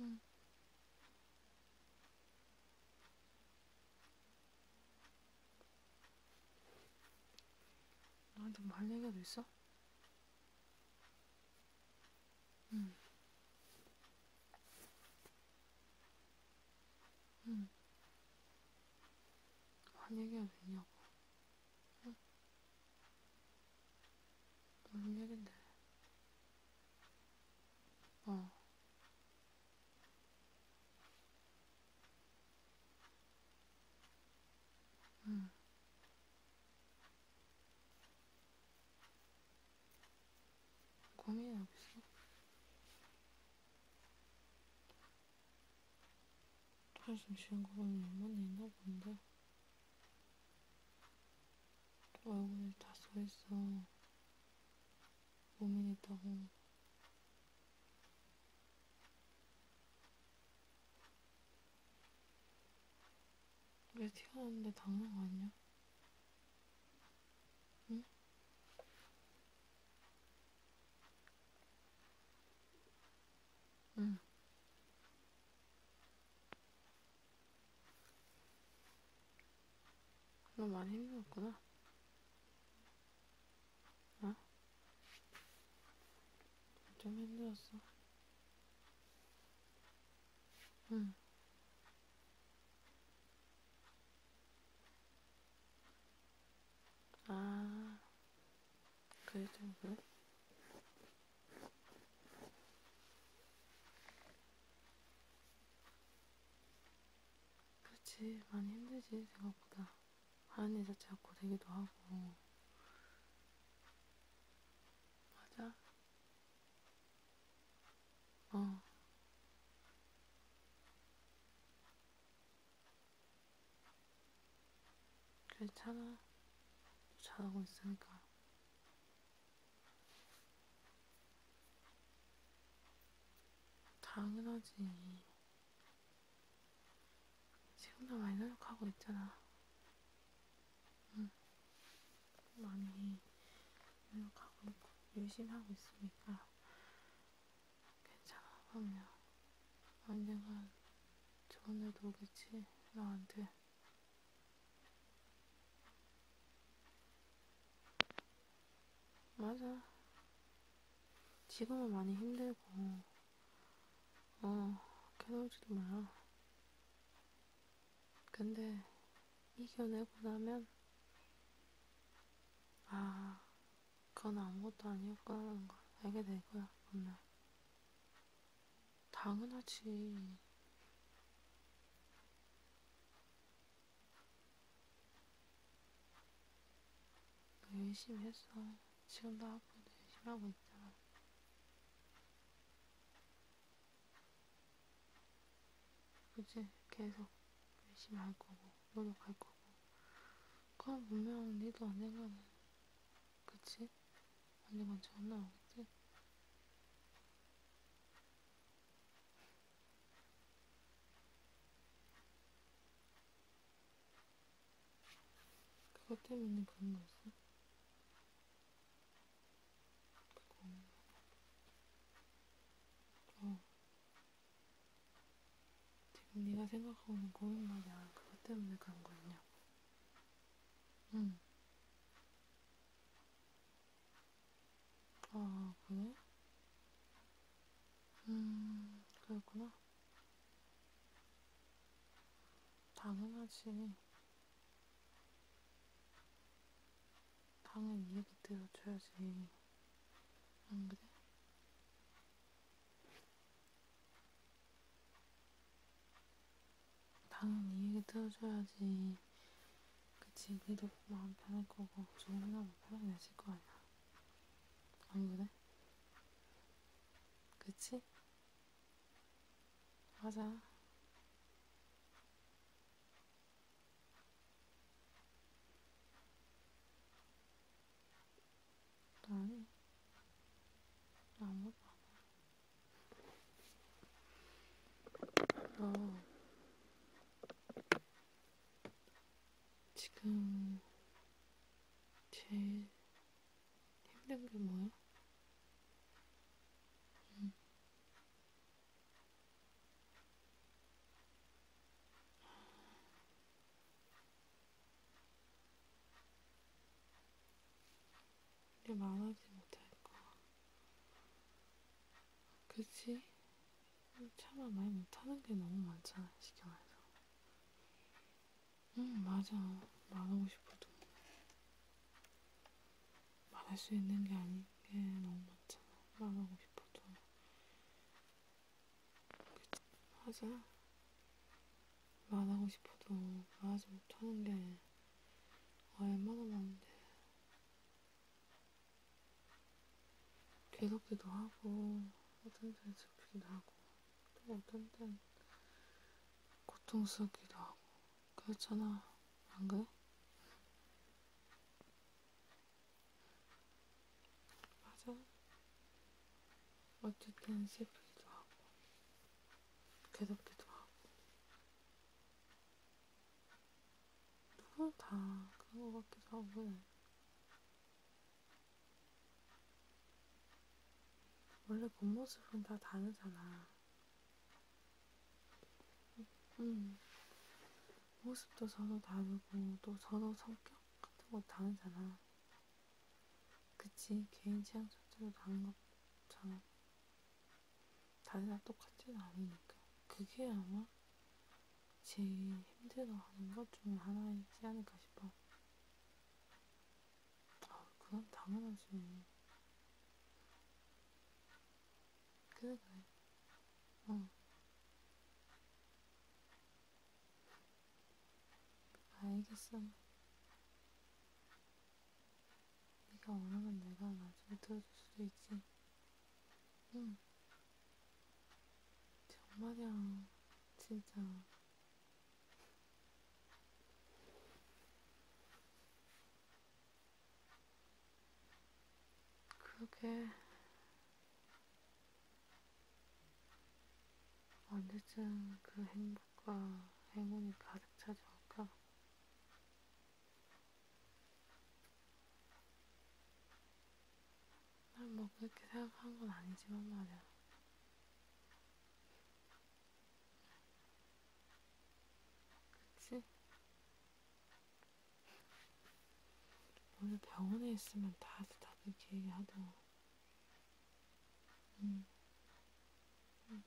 응. 나한테 아, 말뭐 얘기가 더 있어? 응. 응. 말 얘기가 되냐고. 응? 뭔 얘긴데? 어. 응. 고민하고 있어? 한숨 쉬는 거 보면 연만에 있나 본데? 얼굴이 어, 다 서있어. 고민했다고. 왜 튀어나오는데 당한 거 아니야? 응? 응. 너 많이 힘들었구나. 어? 좀 힘들었어. 응. 아, 그래도 그래? 그렇지 많이 힘들지 생각보다 하는 일 자체가 고되기도 하고 맞아 어 괜찮아 잘하고 있으니까 당연하지. 지금도 많이 노력하고 있잖아. 응. 많이 노력하고 있고, 열심히 하고 있으니까. 괜찮아, 그럼요. 언젠간 좋은 날도 오겠지, 나한테. 맞아. 지금은 많이 힘들고, 어, 괴로울지도 몰라. 근데, 이겨내고 나면, 아, 그건 아무것도 아니었구나 하는 걸 알게 될 거야, 분명. 당연하지. 열심히 했어. 지금도 앞으로도 열심히 하고 있잖아. 그치? 계속 열심히 할 거고, 노력할 거고. 그럼 분명 니도 언젠가는 그치? 완전 전안 나오겠지? 그것 때문에 그런 거였어? 그거. 어. 지금 네가 생각하고는 고민 말이야. 그것 때문에 그런 거였냐? 응. 아, 그래? 음, 그렇구나. 당연하지. 당연히 얘기 들어줘야지. 안 그래? 당연히 네 얘기 들어줘야지. 그치, 니도 마음 편할 거고, 조금이나마 편하게 되실 거 아니야. 안 그래? 그치? 하자. 아니, 아무것도 안 해. 어, 지금 제일 힘든 게 뭐야? 응. 내 말하지 못할까? 그치? 차마 말 못하는 게 너무 많잖아, 시경에서. 응, 맞아. 말하고 싶어도. 말할 수 있는 게 아닌 게 너무 많잖아. 말하고 싶어도. 그치? 하자. 말하고 싶어도 말하지 못하는 게 얼마나 많은데. 괴롭기도 하고, 어떤 때는 슬프기도 하고, 또 어떤 때는 고통스럽기도 하고, 그렇잖아. 안 그래? 맞아. 어쨌든 슬프기도 하고, 괴롭기도 하고, 어, 다 그런 것 같기도 하고 원래 본모습은 다 다르잖아 음. 모습도 서로 다르고 또 서로 성격 같은 거 다르잖아 그치 개인 취향 자체도 다른 거잖아 다른 날 똑같지는 않으니까. 그게 아마 제일 힘들어하는 것중 하나이지 않을까 싶어. 아, 그건 당연하지. 그래, 그래. 어. 알겠어. 네가 원하면 내가 나중에 들어줄 수도 있지. 응. 정말이야, 진짜. 그러게. 언제쯤 그 행복과 행운이 가득 찾아올까? 난뭐 그렇게 생각한 건 아니지만 말이야. 그치? 오늘 병원에 있으면 다들 다들 이렇게 얘기하더라. 응. 음. 응. 음.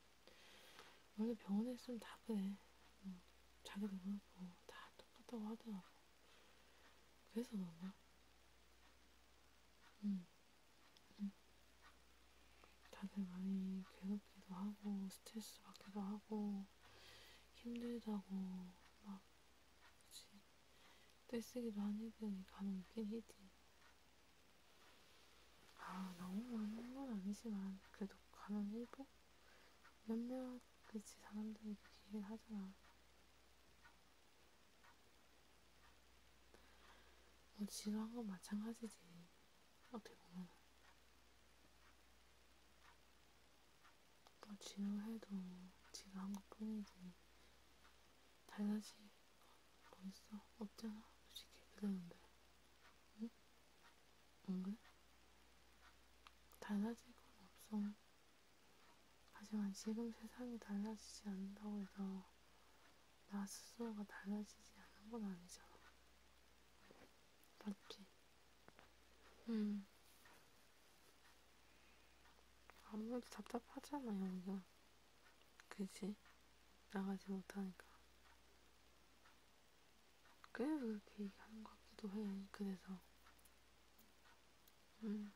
원래 병원에 있으면 다 그래. 어, 자기도 그렇고 다 똑같다고 하더라고. 그래서 그런가? 응. 음. 응. 음. 다들 많이 괴롭기도 하고 스트레스 받기도 하고 힘들다고 막 그치? 떼쓰기도 한 애들이 간혹 있긴 히지. 아, 너무 많은 건 아니지만, 그래도 가면 일부? 몇몇, 그치, 사람들이 그렇게 하잖아. 뭐, 지루한 건 마찬가지지. 어떻게 보면. 뭐, 지루해도 지루한 것 뿐이지. 달라지, 뭐 있어? 없잖아. 솔직히, 그대로인데. 응? 응? 달라질 건 없어. 하지만 지금 세상이 달라지지 않는다고 해서 나 스스로가 달라지지 않는 건 아니잖아. 맞지? 응. 음. 아무래도 답답하잖아, 여기가. 그지? 나가지 못하니까. 그래서 그렇게 얘기하는 것 같기도 해. 그래서 음.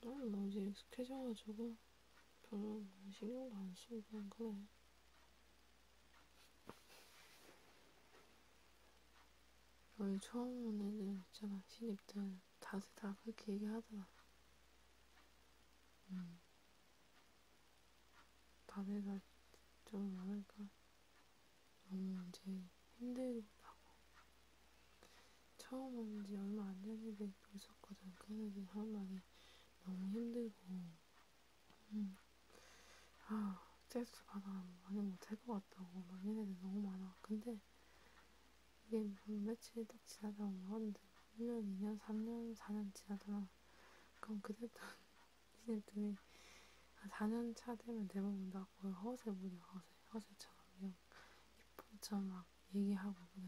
나는 너무 이제 익숙해져가지고 별로 뭐 신경도 안 쓰고 그냥 그래. 여기 처음 온 애들 있잖아, 신입들. 자세 다 그렇게 얘기하더라. 음. 자세가 좀 많으니까 너무 이제 힘들다고. 처음 온지 얼마 안 됐는데 있었거든. 그래서 한 말이 너무 힘들고, 음. 아, 스트레스 받아 많이 못할 것 같다고. 막 얘네들 너무 많아. 근데 이게 몇 며칠 딱 지나다 온 건데 1년, 2년, 3년, 4년 지나잖아 그럼 그때도 니네들이 한 4년 차 되면 대부분 다 거의 허세 부려 허세 허세처럼 그냥 이쁜처럼 막 얘기하고 그래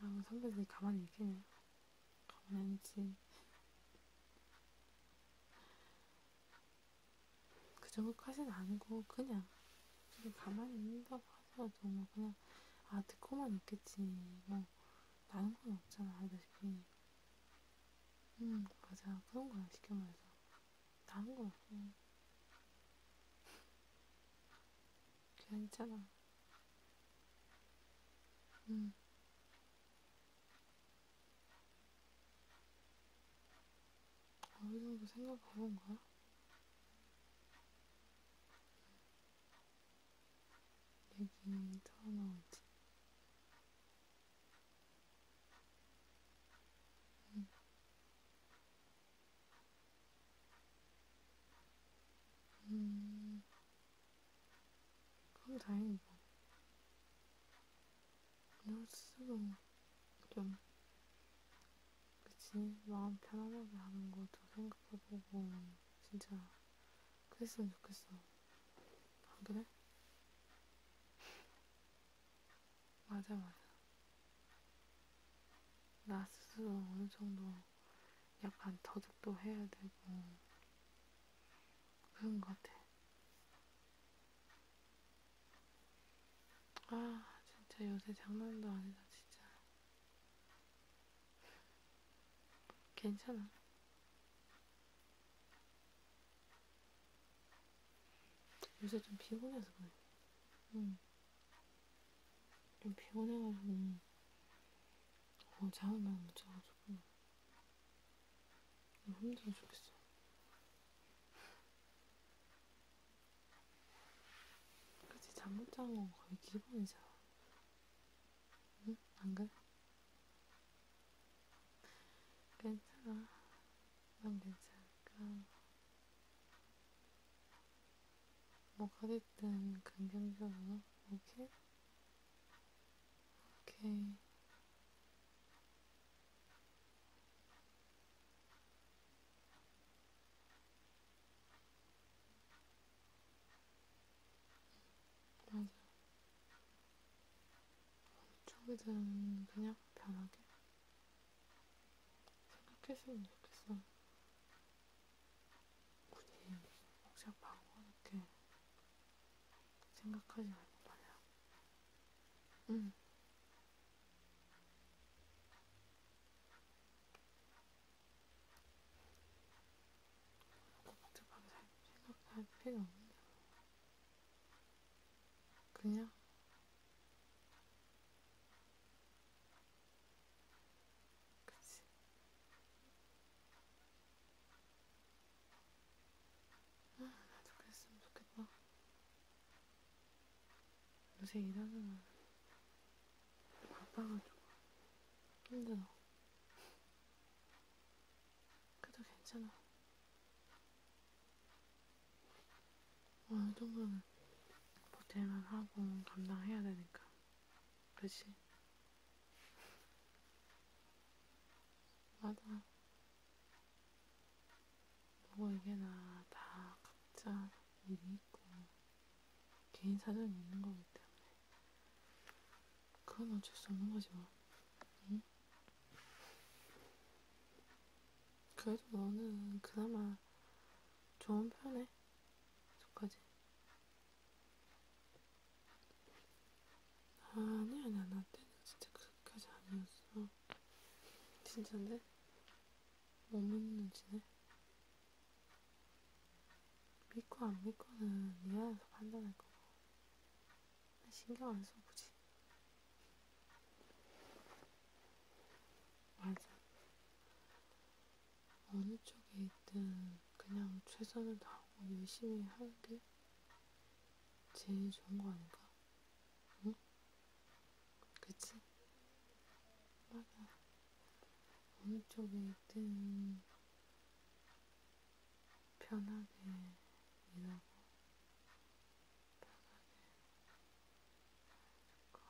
아 선배들이 가만히 있겠냐 가만히 있지 그 정도까지는 아니고 그냥 지금 가만히 있는다고 하더라도 뭐 그냥 아 듣고만 있겠지 뭐 나는 건 없잖아 알다 싶으니 음 맞아 그런 거야 쉽게 말해서 나는 건 없고 괜찮아 음 어느 정도 생각하고 온 거야? 얘기 털어나오지? 응. 음, 그럼 다행이고. 노스도 좀 그치 마음 편안하게 하는 것도 생각해보고 진짜 그랬으면 좋겠어. 안 아, 그래? 맞아 맞아. 나 스스로 어느 정도 약간 더득도 해야 되고 그런 것 같아. 아, 진짜 요새 장난도 아니다, 진짜. 괜찮아. 요새 좀 피곤해서 그래. 응. 좀 피곤해가지고, 어, 잠을 많이 못 자가지고. 힘들어 죽겠어. 그치, 잠못 자는 건 거의 기본이죠. 응? 안 그래? 괜찮아. 난 괜찮을까. 뭐가 됐든 긍정적으로, 오케이? 오케이. 맞아. 초기들은 그냥 편하게 생각했으면 좋겠어. 굳이 복잡하고 이렇게 생각하지 말고 말이야. 응. 코프트 방살 생각할 필요 없는데 그냥 그치 아 나도 그랬으면 좋겠다 요새 일하느라 바빠가지고 힘들어. 그래도 괜찮아. 어느 정도는 보태만 하고 감당해야 되니까. 그렇지? 맞아. 누구에게나 다 각자 일이 있고 개인 사정이 있는 거기 때문에 그건 어쩔 수 없는 거지 뭐. 응? 그래도 너는 그나마 좋은 편에 속하지. 아니 아니야 나 때는 진짜 그렇게까지 아니었어. 진짜인데? 못 믿는지네. 믿고 안 믿고는 네 안에서 판단할 거고. 나 신경 안 써보지. 맞아. 어느 쪽에 있든 그냥 최선을 다하고 열심히 하는 게 제일 좋은 거 아닌가? 응? 그치? 맞아. 어느 쪽에 있든 편하게 일하고 편하게 할거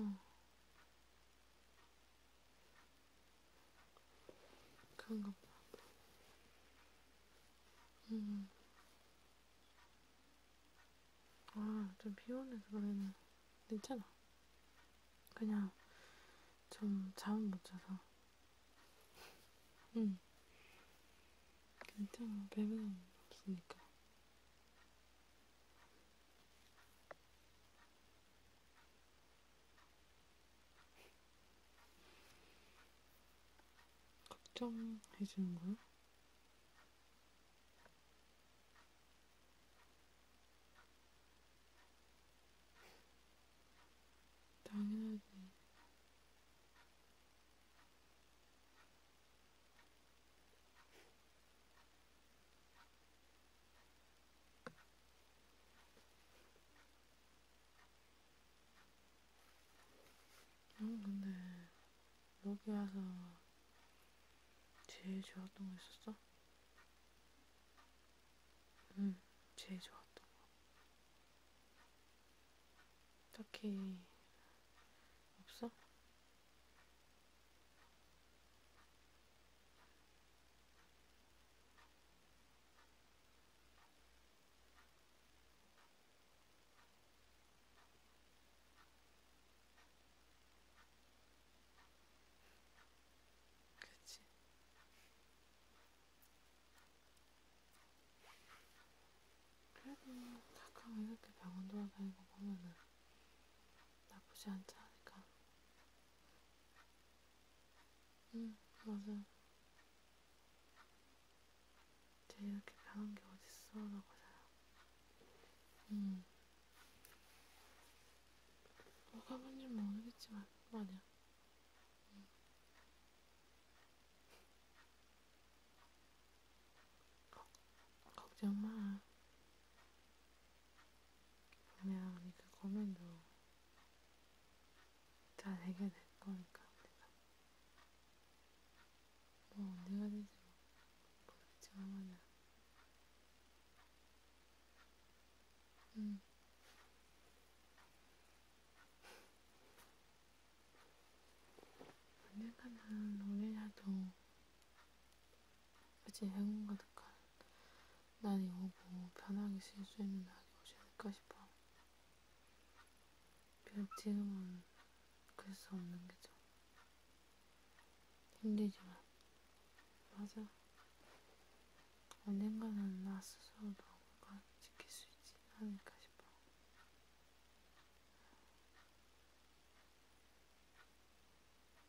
어. 그런가 봐. 음. 아, 좀 피곤해서 그러네. 괜찮아. 그냥 좀잠못 자서. 응. 음. 괜찮아. 배면 없으니까. 걱정해주는 거야? 당연하지. 응, 음, 근데 여기 와서 제일 좋았던 거 있었어? 응, 제일 좋았던 거. 딱히 없어? 그치. 그래도 가끔 이렇게 병원 돌아다니고 보면은 나쁘지 않지 않을까 응, 맞아. 쟤 이렇게 변한 게 어딨어, 라고 생각. 응. 뭐가 뭔지 모르겠지만, 아니야. 응. 걱정 마. 분명히 그 고민도 잘 해결될 거니까 내가 뭐 언제가 되지 모르겠지만 뭐. 응 음. 언젠가는 우리라도 그지 행운 가득한 날이 오고 편하게 쉴 수 있는 날이 오지 않을까 싶어. 비록 지금은 그럴 수 없는 게 좀 힘들지만 맞아. 언젠가는 나 스스로도 뭔가 지킬 수 있지 않을까 싶어.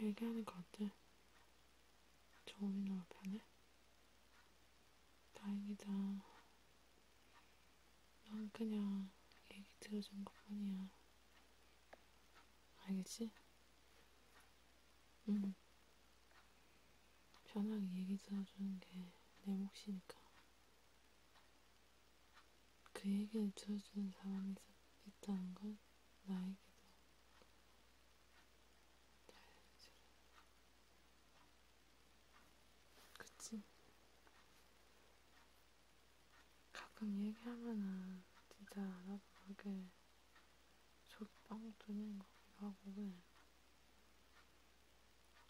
얘기하는 거 어때? 저음이 너무 편해? 다행이다. 난 그냥 얘기 들어준 것 뿐이야. 알겠지? 응. 편하게 얘기 들어주는 게 내 몫이니까. 그 얘기를 들어주는 사람이 있다는 건 나에게도 잘해줘. 그치? 가끔 얘기하면은 진짜 나도 모르게 저빵 뚫리는 거기도 하고 그래.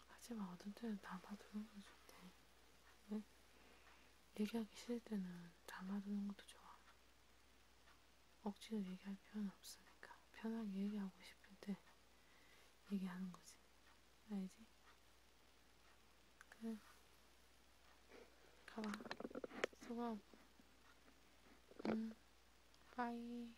하지만 어떤 때는 나만 들은 거지. 네? 얘기하기 싫을 때는 담아두는 것도 좋아. 억지로 얘기할 필요는 없으니까 편하게 얘기하고 싶을 때 얘기하는 거지. 알지? 그래. 가봐. 수고. 응. 음. 빠이.